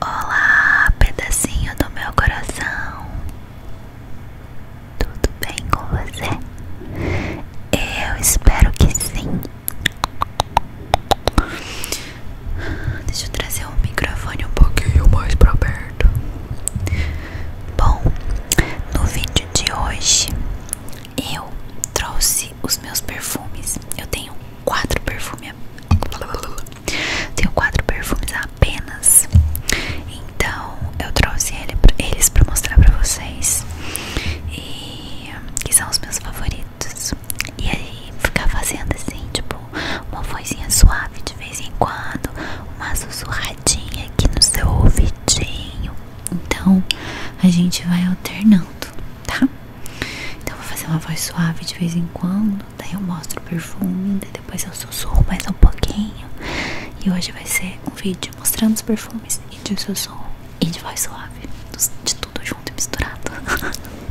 Olá, pedacinho do meu coração. Tudo bem com você? Eu espero que sim. Deixa eu trazer o um microfone um pouquinho mais para perto. Bom, no vídeo de hoje eu trouxe os meus perfumes. Eu tenho quatro perfumes. Tenho quatro perfumes apenas. Então eu trouxe eles para mostrar para vocês. E que são os meus favoritos. E aí ficar fazendo assim, tipo, uma vozinha suave de vez em quando, uma sussurradinha aqui no seu ouvidinho. Então a gente vai alternando, tá? Então, eu vou fazer uma voz suave de vez em quando. Daí, eu mostro o perfume. Daí depois, eu sussurro mais um pouquinho. E hoje vai ser um vídeo mostrando os perfumes e de sussurro e de voz suave. De tudo junto e misturado.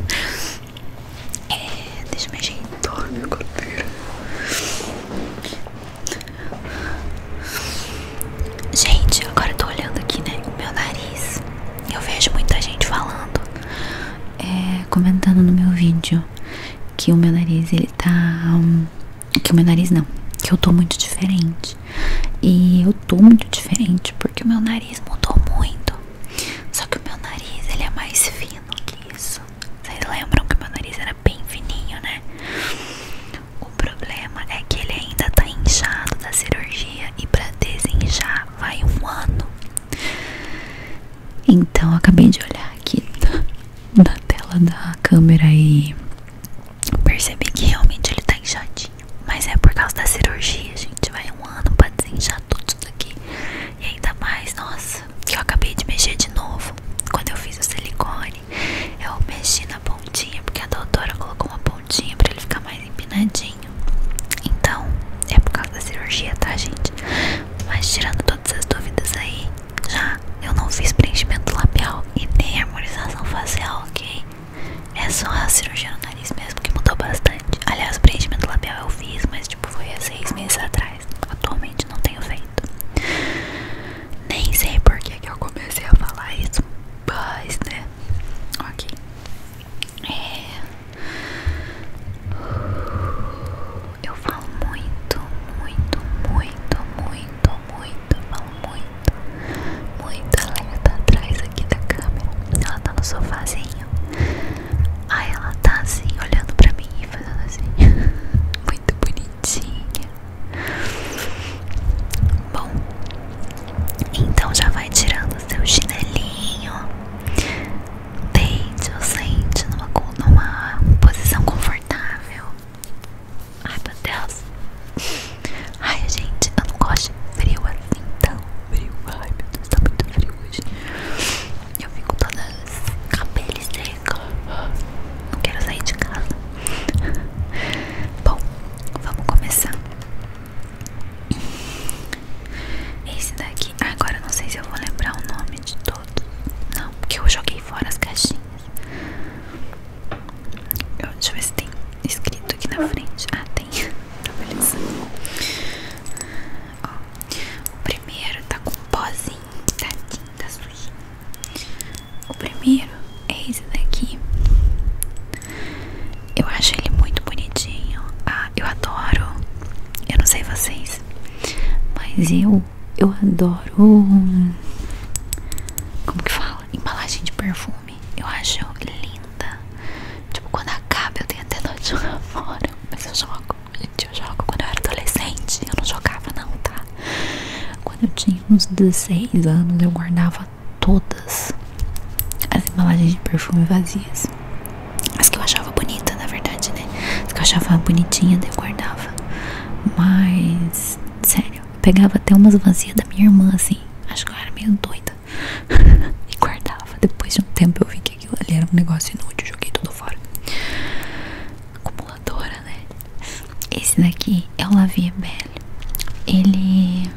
é, deixa eu gente dormir, minha cadeira. Gente, agora eu tô olhando aqui, né? O meu nariz. Eu vejo muita gente falando é, comentando no meu vídeo que o meu nariz ele tá que o meu nariz não que eu tô muito diferente e eu tô muito diferente porque o meu nariz mudou muito só que o meu nariz ele é mais fino que isso vocês lembram que o meu nariz era bem fininho né o problema é que ele ainda tá inchado da cirurgia e pra desinchar vai um ano. Então eu acabei de olhar aqui da tela da câmera e percebi que realmente ele tá inchadinho. Mas é por causa da cirurgia, gente. Vai um ano pra desinchar tudo isso daqui. E ainda mais, nossa, que eu acabei de mexer de novo. Quando eu fiz o silicone, eu mexi na pontinha, porque a doutora colocou uma pontinha pra ele ficar mais empinadinho. Então, é por causa da cirurgia, tá, gente? Mas tirando todas as dúvidas aí, já eu não fiz preenchimento labial e nem harmonização facial, ok? É só a cirurgia no nariz mesmo que mudou bastante. Aliás, o preenchimento labial eu fiz, mas tipo foi há seis meses atrás. Atualmente não tenho feito. Nem sei por que eu comecei a falar isso, mas né? Ok. É. Eu falo muito, muito, muito, muito, muito, falo muito, muito. Ela tá atrás aqui da câmera. Ela tá no sofazinho. Aí ela tá assim, olhando pra mim e fazendo assim. muito bonitinha. Bom, então já vai tirando seu chinelinho. Deite ou sente numa, posição confortável. Ai meu Deus. Ai gente, eu não gosto de frio assim tão frio. Ai meu Deus, tá muito frio hoje. Eu fico com todos os cabelos secos. Não quero sair de casa. Bom, vamos começar. Esse daqui, agora não sei se eu vou lembrar o nome de todos. Não, porque eu joguei fora as caixinhas. Eu, deixa eu ver se tem escrito aqui na frente. Ah, tem. Tá beleza. Ó, o primeiro tá com um pozinho tá da tinta tá O primeiro é esse daqui. Eu acho ele muito bonitinho. Ah, eu adoro. Eu não sei vocês, mas eu eu adoro. Como que fala? Embalagem de perfume. Eu acho linda. Tipo, quando acaba eu tenho até dó de jogar fora. Mas eu jogo. Gente, eu jogo quando eu era adolescente. Eu não jogava não, tá? Quando eu tinha uns 16 anos, eu guardava todas as embalagens de perfume vazias. As que eu achava bonita, na verdade, né? As que eu achava bonitinha, eu guardava. Mas, sério, pegava até umas vazias da minha irmã, assim. Acho que eu era meio doida. e guardava. Depois de um tempo eu vi que aquilo ali era um negócio inútil, joguei tudo fora. Acumuladora, né? Esse daqui é o Lavier Belle. Ele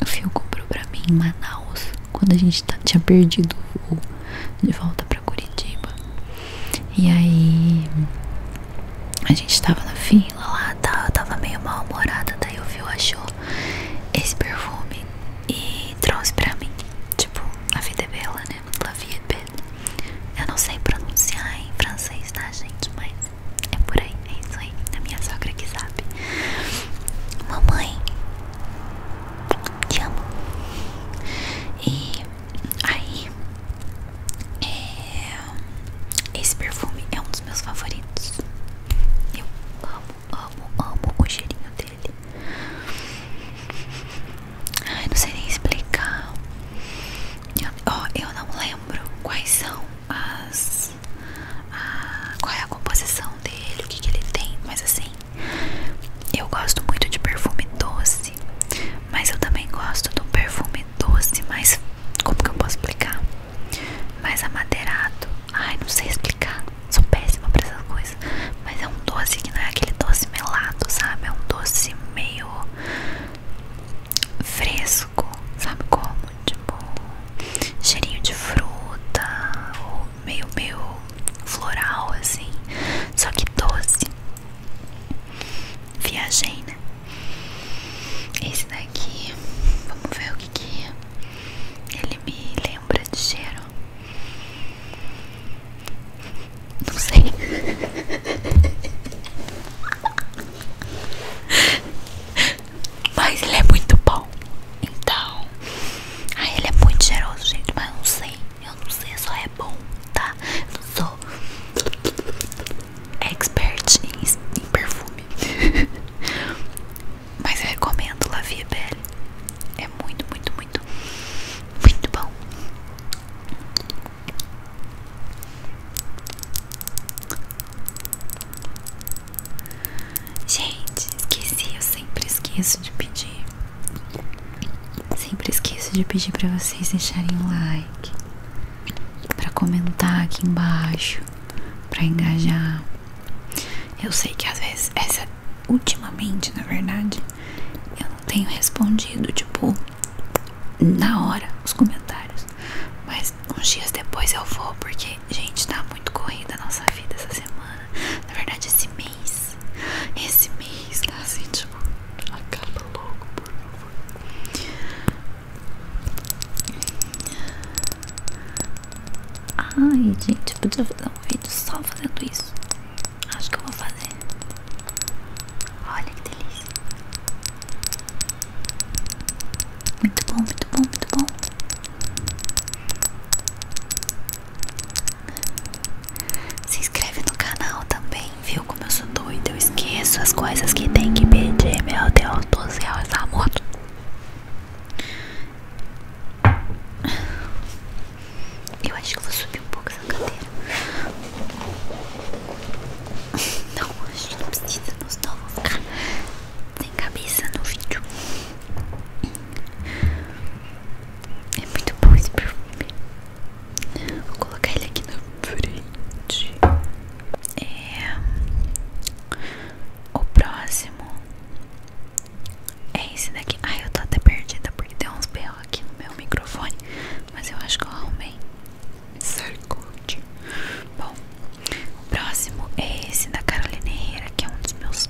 o Fio comprou pra mim em Manaus, quando a gente tá, tinha perdido o voo de volta pra Curitiba. E aí a gente tava na fila lá, tava, tá, tava meio mal-humorada, daí o Fio achou esse perfume e trouxe pra mim. Tipo, a vida é bela, né? É La Eu não sei pronunciar em francês, tá, gente? Mas é por aí, é isso aí. A minha sogra que sabe. Mamãe, te amo. E aí, é, esse perfume é um dos meus favoritos. Eu amo, amo, amo o cheirinho dele. Ai, não sei nem explicar. Ó, oh, eu não lembro quais são as, qual é a composição dele, o que, ele tem, mas assim, eu gosto muito de perfume doce, mas eu também gosto de um perfume doce, mais como que eu posso explicar? Mais amadeirado, ai não sei explicar, sou péssima pra essas coisas, mas é um doce que não é aquele doce melado, sabe? É um doce meio fresco sabe como? Tipo, cheirinho de fruta, meio, meio floral, assim, só que doce. Viajei, né? Esse daqui, vamos ver o que que ele me lembra de cheiro. Não sei. Mas ele é muito bom. Então. Ai, ele é muito generoso gente. Mas eu não sei. Eu não sei, só é bom, tá? não sou expert em, perfume. Mas eu recomendo La Vie Belle. É muito, muito, muito, muito bom. Gente, esqueci, eu sempre esqueço de pedir. Sempre esqueço de pedir para vocês deixarem um like, para comentar aqui embaixo, para engajar. Eu sei que às vezes essa ultimamente, na verdade, eu não tenho respondido tipo na hora os comentários, mas uns dias depois eu vou, porque, gente, tá muito corrida a nossa vida essa semana. Na verdade, esse mês. Esse mês tá assim, tipo, acaba logo, por favor. Ai, gente, podia fazer um vídeo só fazendo isso. Acho que eu vou fazer. Olha que delícia. Muito bom, muito bom, muito bom. Se inscreve no canal também, viu? Como eu sou doida, eu esqueço as coisas que tem que pedir. Meu Deus do céu, essa moto. Eu acho que vou subir um pouco essa cadeira. Não, a gente não precisa, não senão eu vou cabeça no vídeo. É muito bom esse perfume. Vou colocar ele aqui na frente. É... O próximo é esse daqui. Ai, eu estou até perdida porque tem uns berros aqui no meu microfone. Mas eu acho que eu arrumei. Sarkozy. Bom, o próximo é esse da Carolina Herrera, que é um dos meus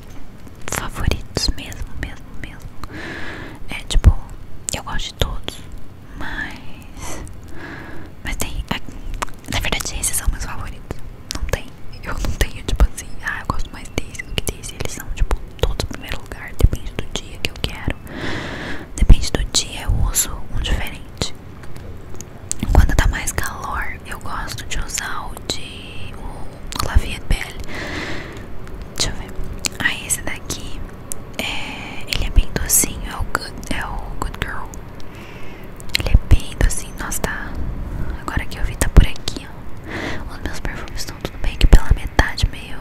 favoritos mesmo, mesmo, mesmo. É tipo, eu gosto de todos, mas. Mas tem. Na verdade, esses são meus favoritos. Não tem. Eu não tenho, tipo assim, ah, eu gosto mais desse do que desse. Eles são, tipo, todos em primeiro lugar. Depende do dia que eu quero. Depende do dia, eu uso um diferente. Quando tá mais calor, eu gosto de usar o de o de Belle. Deixa eu ver. Aí ah, esse daqui é, ele é bem docinho, é o Good, é o Good Girl. Ele é bem docinho, nossa tá. Agora que eu vi tá por aqui, ó. Os meus perfumes estão tudo bem que pela metade meio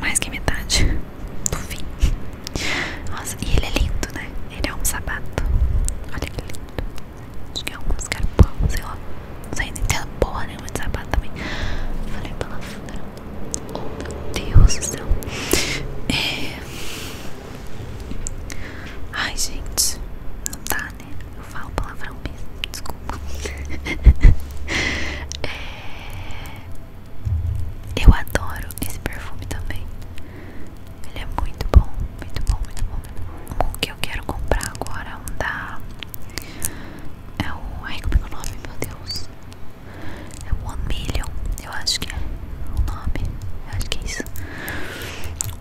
mais que metade do fim. Nossa, e ele é lindo, né? Ele é um sabato Olha que lindo. Acho que é um escarpão, sei lá. Não sei, não boa é porra nenhuma de sapato também. Falei pela Oh, meu Deus do céu. É... Ai, gente. Não tá né? Eu falo palavrão mesmo. Desculpa. é... Eu adoro esse perfume também. Ele é muito bom, muito bom, muito bom, O que eu quero comprar agora é um da. É o. Ai, como é, é o nome? Meu Deus. É o One Million, eu acho que é o nome. Eu acho que é isso.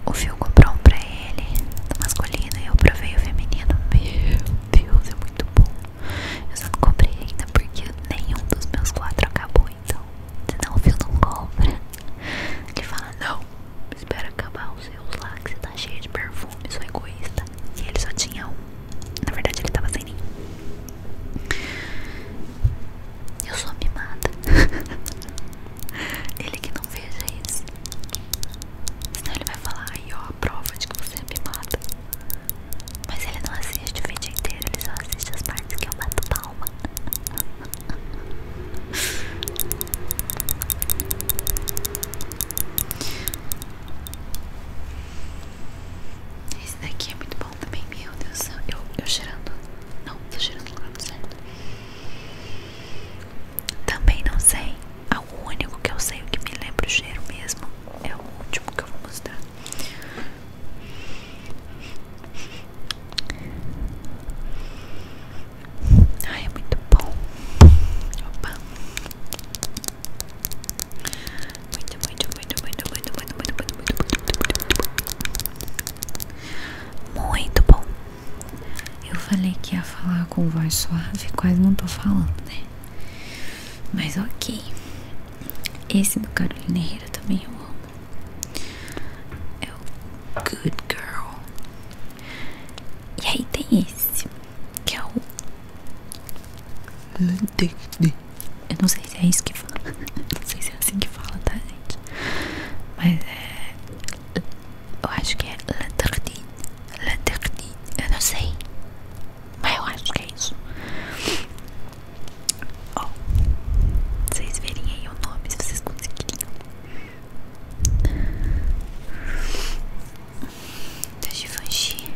O Phil comprou um pra ele, do masculino, e eu provei o feminino. Meu Deus, é muito bom. Eu só não comprei ainda porque nenhum dos meus quatro acabou, então. Senão o fio não compra. Ele fala, não, espera acabar os seus lá, que você tá cheio de perfume, sou egoísta. E ele só tinha um. Na verdade ele tava sem nenhum. Eu sou mimada. ele que não veja isso. Senão ele vai falar, aí ó, a prova de que você é mimada. Mas ele não assiste o vídeo inteiro, ele só assiste as partes que eu bato palma. Esse daqui é muito bom também, meu Deus do Eu, eu cheirando. Não, tô cheirando no lugar certo. Também não sei. O único que eu sei o que me lembra o cheiro mesmo é o último que eu vou mostrar. Ai, é muito bom. Opa. Muito, muito, muito, muito, muito, muito, muito, muito, muito, muito, muito, muito bom. Eu falei que ia falar com voz suave, quase não tô falando, né? Mas ok. Esse do Carolina Herrera também eu amo. É o Good Girl. E aí tem esse, que é o. Eu não sei se é isso que fala. Não sei se é assim que fala, tá, gente? Mas é. Eu acho que é La Tardine. La Tardine. Eu não sei. Mas eu acho que é isso. Ó, vocês verem aí o nome se vocês conseguiriam. Da Givenchy.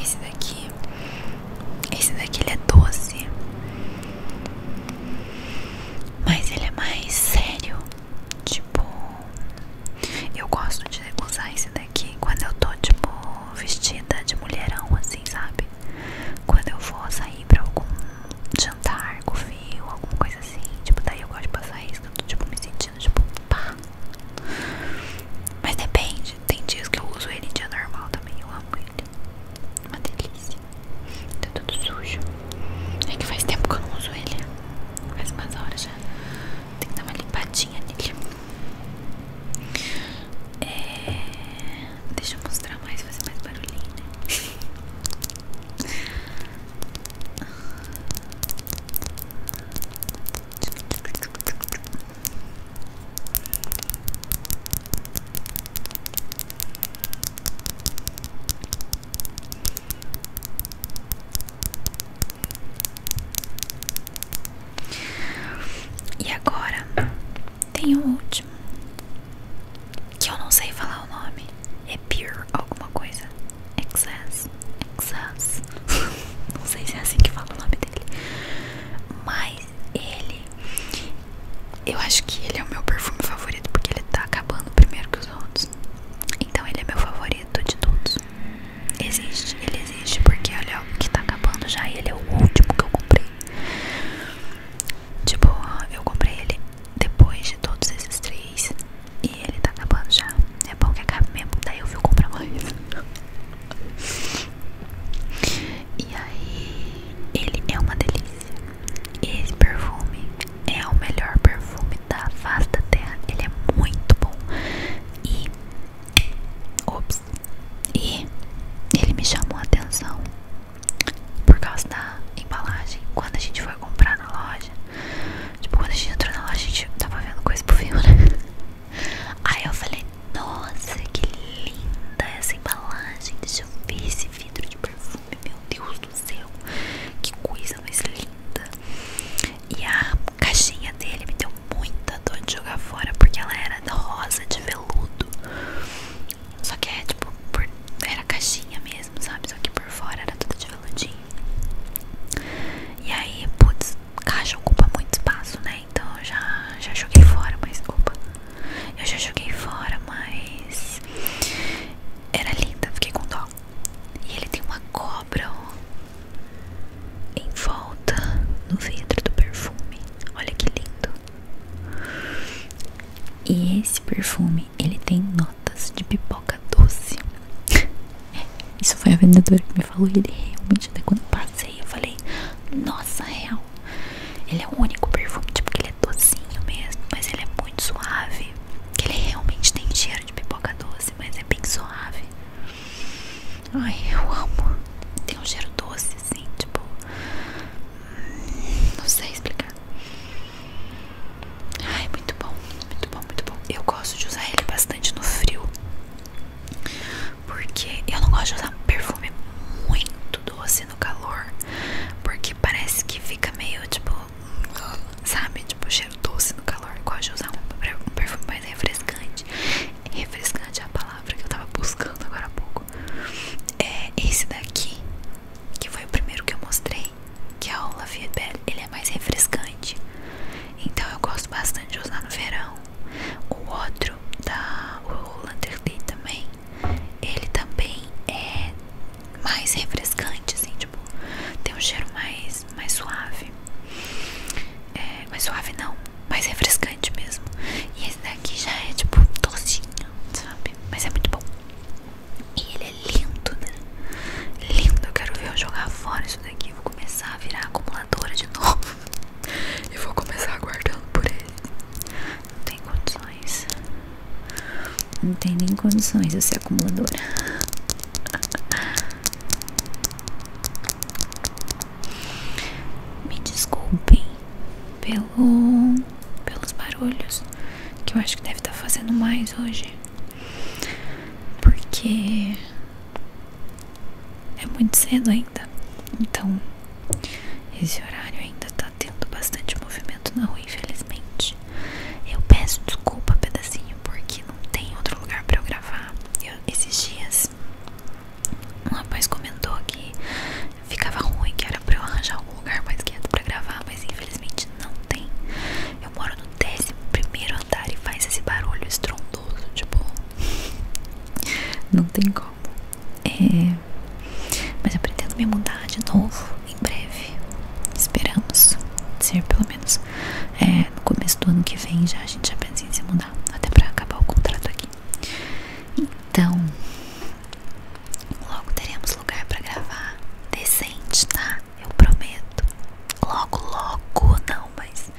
Esse daqui, esse daqui ele é doce. Mas ele é mais sério. Tipo, eu gosto de usar esse daqui quando eu tô, tipo, vestida de mulherão, assim, sabe? Quando eu vou sair pra algum jantar, covil, alguma coisa assim. Tipo, daí eu gosto de passar isso, que eu tô, tipo, me sentindo, tipo, pá. Mas depende, tem dias que eu uso ele em dia normal também, eu amo ele. Uma delícia. Tá tudo sujo. É que faz tempo que eu não uso ele. Faz umas horas já. Tem que dar uma limpadinha nele. É... Deixa eu mostrar mais, fazer mais barulhinho, né? E agora tem o último que eu não sei falar o nome. É Pure alguma coisa. Excess. Excess. não sei se é assim que fala o nome dele. Mas ele eu acho que ele é o meu perfume favorito porque ele tá acabando primeiro que os outros. Então ele é meu favorito de todos. Existe, ele existe porque olha o que tá acabando já e ele é o último que eu comprei. Tipo, eu comprei ele depois de todos esses três e ele tá acabando já. É bom que acabe mesmo, daí eu vou comprar mais. E aí, ele é uma delícia esse perfume é o melhor perfume da vasta terra. Ele é muito bom. E. Ops. E ele me chamou a atenção por causa da embalagem. Quando a gente foi comprar na loja. Tipo, quando a gente entrou na loja, a gente tava vendo coisa pro filme, né? Aí eu falei, nossa, que linda essa embalagem. Deixa eu ver esse vidro de perfume meu Deus do céu, que coisa mais linda. E a caixinha dele me deu muita dor de jogar fora, porque ela era rosa de veludo. Só que é tipo, era caixinha mesmo, sabe? Só que por fora era toda de veludinho. E aí, putz, caixa ocupa muito espaço, né? Então eu já, já joguei fora, mas opa, eu já joguei fora, mas era linda, fiquei com dó. E ele tem uma cobra ó, em volta no vidro do perfume. Olha que lindo. E esse perfume, ele tem notas de pipoca doce. Isso foi a vendedora que me falou e ele realmente, até quando passei, eu falei, nossa, real ele é o único perfume, tipo, que ele é docinho mesmo, mas ele é muito suave. Ele realmente tem cheiro de pipoca doce, mas é bem suave. Ai, eu amo. Tem um cheiro doce, sim, tipo. Hum, não sei explicar. Ai, muito bom, muito bom, muito bom. Eu gosto de usar ele bastante no frio. Porque eu não gosto de usar perfume muito doce no calor, porque parece que fica meio tipo, sabe, tipo cheiro doce no calor. Eu gosto de usar um, perfume mais refrescante. Refrescante é a palavra que eu tava buscando agora há pouco. É esse daqui, que foi o primeiro que eu mostrei, que é o La Belle. Ele é mais refrescante, então eu gosto bastante de usar no verão. O outro da o Lander também ele também é mais refrescante, assim, tipo, tem um cheiro mais, mais suave. É, mais suave não, mais refrescante mesmo. E esse daqui já é tipo docinho, sabe? Mas é muito bom. E ele é lindo, né? Lindo, eu quero ver eu jogar fora isso daqui. vou começar a virar acumuladora de novo. E vou começar guardando por ele. Não tem condições. Não tem nem condições de ser acumuladora. Me desculpem pelo, pelos barulhos que eu acho que deve estar tá fazendo mais hoje. Porque é muito cedo ainda. Então, esse horário ainda está tendo bastante movimento na rua, infelizmente. Eu peço desculpa, pedacinho, porque não tem outro lugar pra eu gravar. Eu, esses dias, um rapaz comentou que ficava ruim, que era pra eu arranjar um lugar mais quieto pra gravar, mas infelizmente não tem. Eu moro no décimo primeiro andar e faz esse barulho estrondoso, tipo. Não tem como. É, mas eu pretendo me mudar de novo em breve. Esperamos ser pelo menos é, no começo do ano que vem. Já a gente já pensa em se mudar, até para acabar o contrato aqui. Então, logo teremos lugar para gravar decente, tá? Eu prometo. Logo, logo não, mas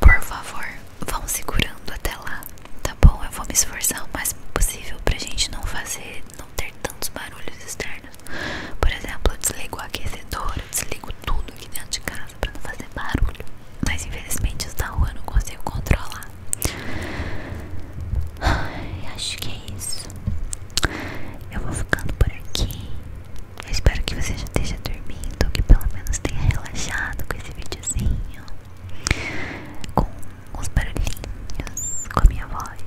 por favor, Vamos segurando até lá, tá bom? Eu vou me esforçar o máximo possível pra gente não fazer, não ter tantos barulhos externos. Por exemplo, eu desligo o aquecedor, eu desligo tudo aqui dentro de casa pra não fazer barulho. Mas infelizmente os da rua eu não consigo controlar. Ai, acho que é isso. Eu vou ficando por aqui. Eu espero que você já esteja dormindo, ou que pelo menos tenha relaxado com esse videozinho com os barulhinhos, com a minha voz.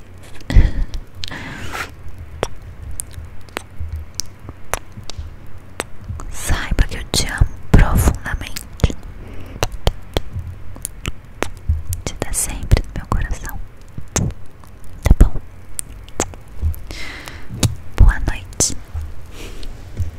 Saiba que eu te amo profundamente. Te dá sempre no meu coração. Tá bom? Boa noite.